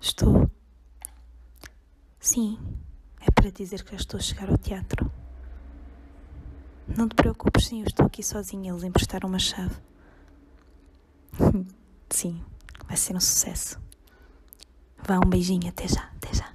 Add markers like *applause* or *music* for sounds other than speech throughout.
Estou. Sim, é para dizer que já estou a chegar ao teatro. Não te preocupes, sim, eu estou aqui sozinha. Eles emprestaram uma chave. *laughs* Sim, vai ser um sucesso. Vá, um beijinho, até já, até já.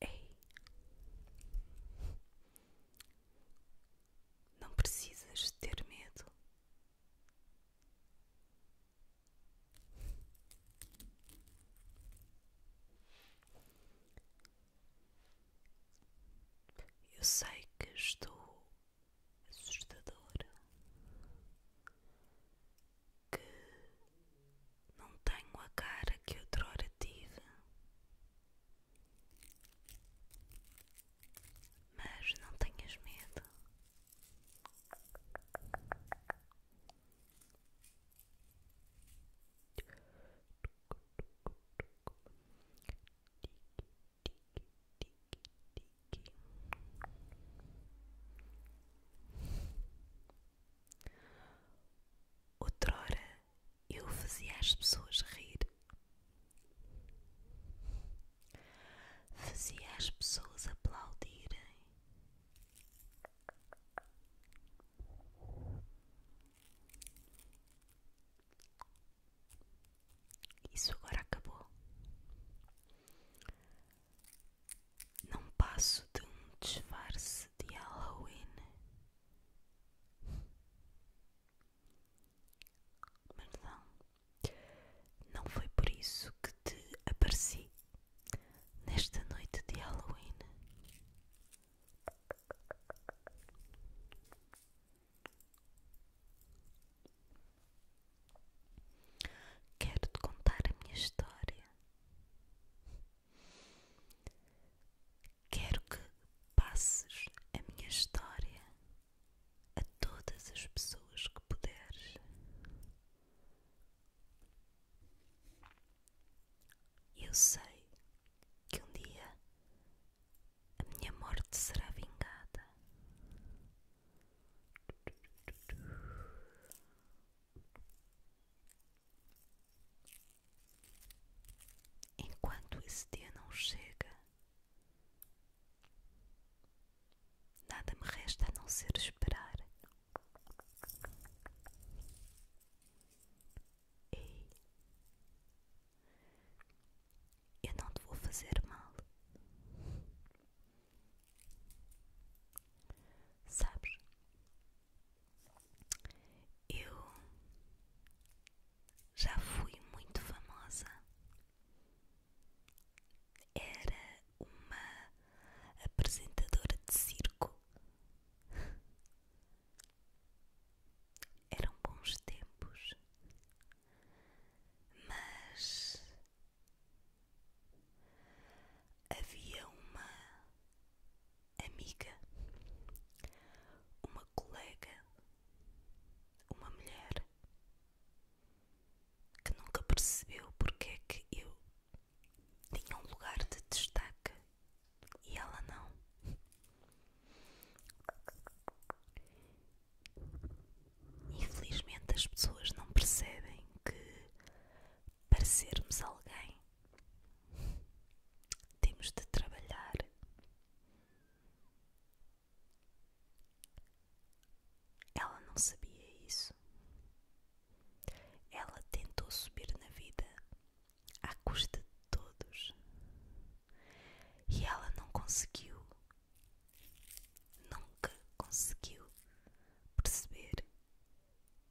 Ei, não precisas ter medo. Eu sei que estou assustadora que não tenho a cara que outrora tive, mas não tenhas medo tique, tique. Outrora eu fazia as pessoas rir, fazia as pessoas aplaudirem. Isso agora acabou. Não passo de um disfarce de Halloween. Mas não, não foi por isso que te apareci nesta noite de Halloween. Quero te contar a minha história. Quero que passes a minha história a todas as pessoas que puderes. Eu sei que um dia a minha morte será vingada. Enquanto esse dia não chega, nada me resta a não ser esperar. Ei, eu não te vou fazer mal. Sabes? Eu já fui muito famosa. Era uma apresentadora de circo. Eram bons tempos, mas Havia uma amiga, uma colega, uma mulher que nunca percebeu porque é que eu tinha um lugar de destaque e ela não. Infelizmente as pessoas não percebem que para sermos alguém temos de trabalhar. Ela não sabia isso. Ela tentou subir na vida à custa de todos e ela não conseguiu nunca conseguiu perceber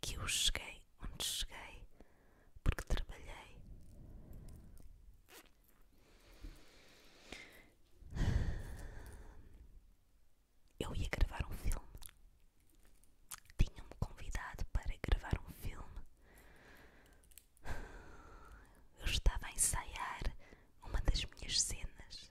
que eu cheguei onde cheguei porque trabalhei. Eu ia gravar um filme. Tinham-me convidado para gravar um filme. Eu estava a ensaiar uma das minhas cenas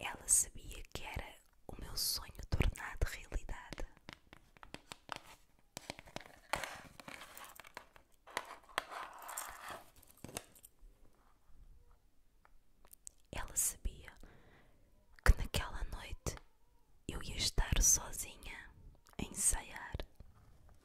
Ela sabia que era o meu sonho tornado realidade. Ela sabia que naquela noite eu ia estar sozinha a ensaiar.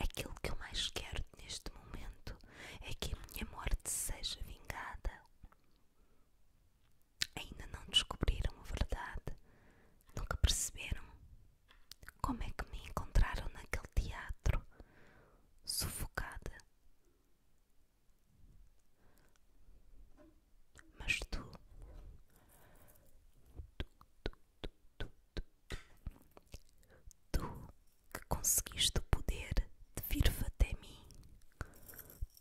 Aquilo é que eu mais quero neste momento é que a minha morte seja vingada. Ainda não descobriram a verdade, nunca perceberam como é que me encontraram naquele teatro, sufocada. Mas tu, tu, tu, tu, tu, tu, tu, tu que conseguiste o poder de vir até mim,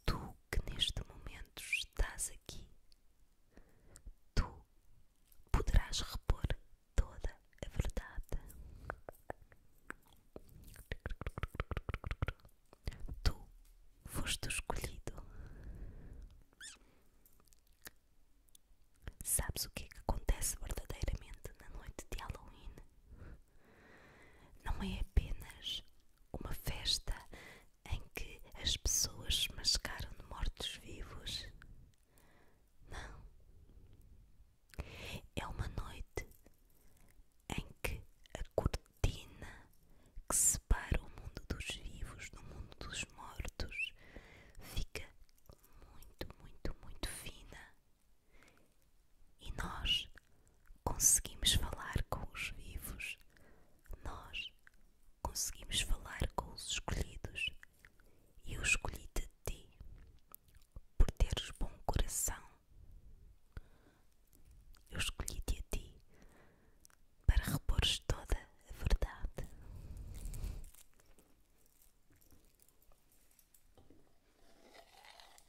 Tu que neste momento estás aqui, tu poderás repor toda a verdade. Tu foste escolhido. Sabes o que é que acontece verdadeiramente na noite de Halloween? Não é apenas uma festa em que as pessoas se mascaram de mortos-vivos. Não. É uma noite em que a cortina que separa o mundo dos vivos do mundo dos mortos fica muito, muito, muito fina. E nós conseguimos falar com os vivos, nós conseguimos falar com os escolhidos. e Eu escolhi-te de ti, por teres bom coração. Eu escolhi-te a ti para repores toda a verdade.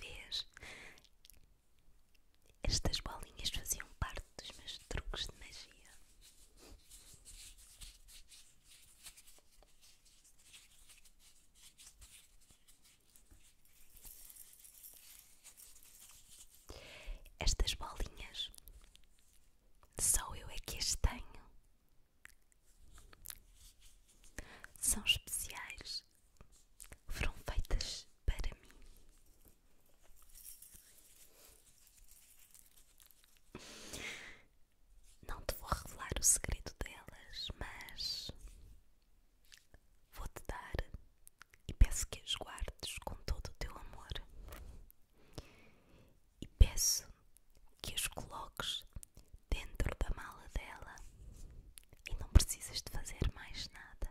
Vês? Estas bolinhas faziam parte dos meus truques de magia. Estas bolinhas só eu é que as tenho. São especiais, foram feitas para mim. Não te vou revelar o segredo delas, mas vou-te dar e peço que as guardes com todo o teu amor. E peço que as coloques dentro da mala dela. E não precisas de fazer mais nada.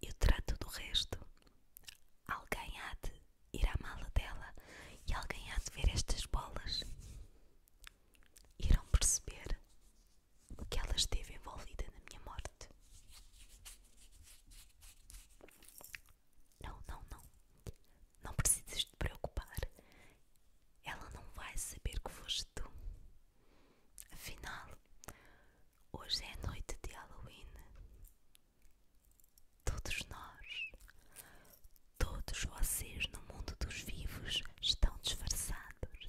Eu trato do resto. Alguém há de ir à mala dela e alguém há de ver estas bolas. Irão perceber o que ela esteve envolvida na minha morte. Não, não, não. Não precisas te preocupar. Ela não vai saber que foste tu. Afinal, hoje é a noite de Halloween. Todos nós, todos vocês no mundo dos vivos estão disfarçados.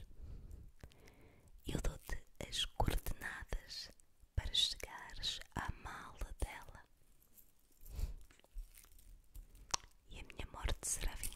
Eu dou-te as coordenadas para chegares à mala dela. E a minha morte será vingada.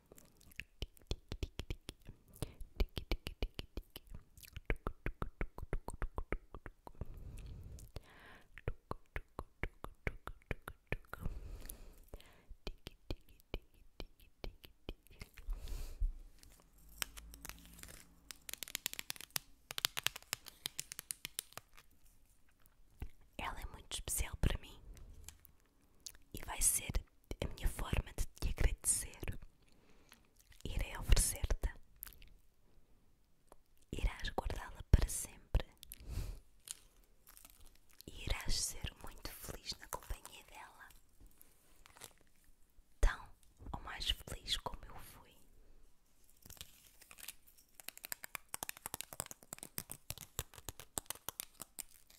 Ela é muito especial para mim e vai ser a minha forma de te agradecer. Irei oferecer-te, irás guardá-la para sempre e irás ser muito feliz na companhia dela, tão ou mais feliz como eu fui.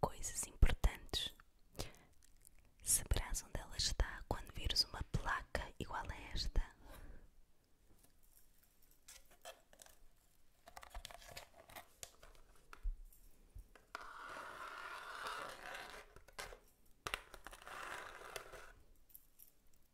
Coisas importantes. Saberás onde ela está quando vires uma placa igual a esta.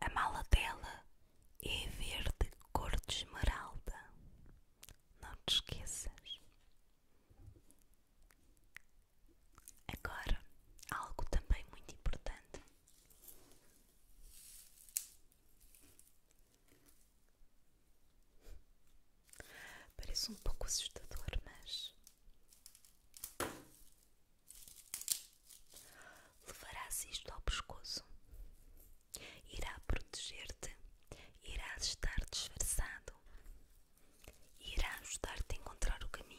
A mala dela é verde cor de esmeralda. Não te esqueças. Agora, algo também muito importante. Parece um pouco assustador, mas levarás isto ao pescoço, irá proteger-te, irá estar disfarçado, irá ajudar-te a encontrar o caminho.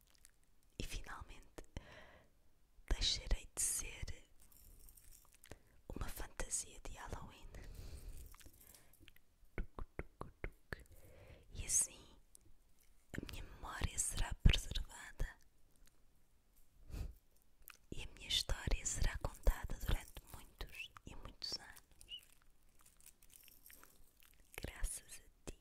E finalmente deixarei de ser uma fantasia de Halloween. E assim a minha memória será preservada e a minha história será contada durante muitos e muitos anos. Graças a ti.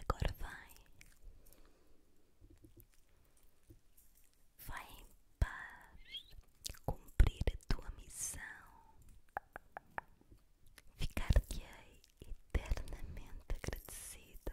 Agora vai, vai em paz cumprir a tua missão, ficar-te-ei eternamente agradecida.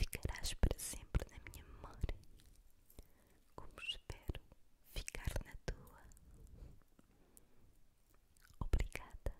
Ficarás para sempre na minha memória, como espero ficar na tua. Obrigada.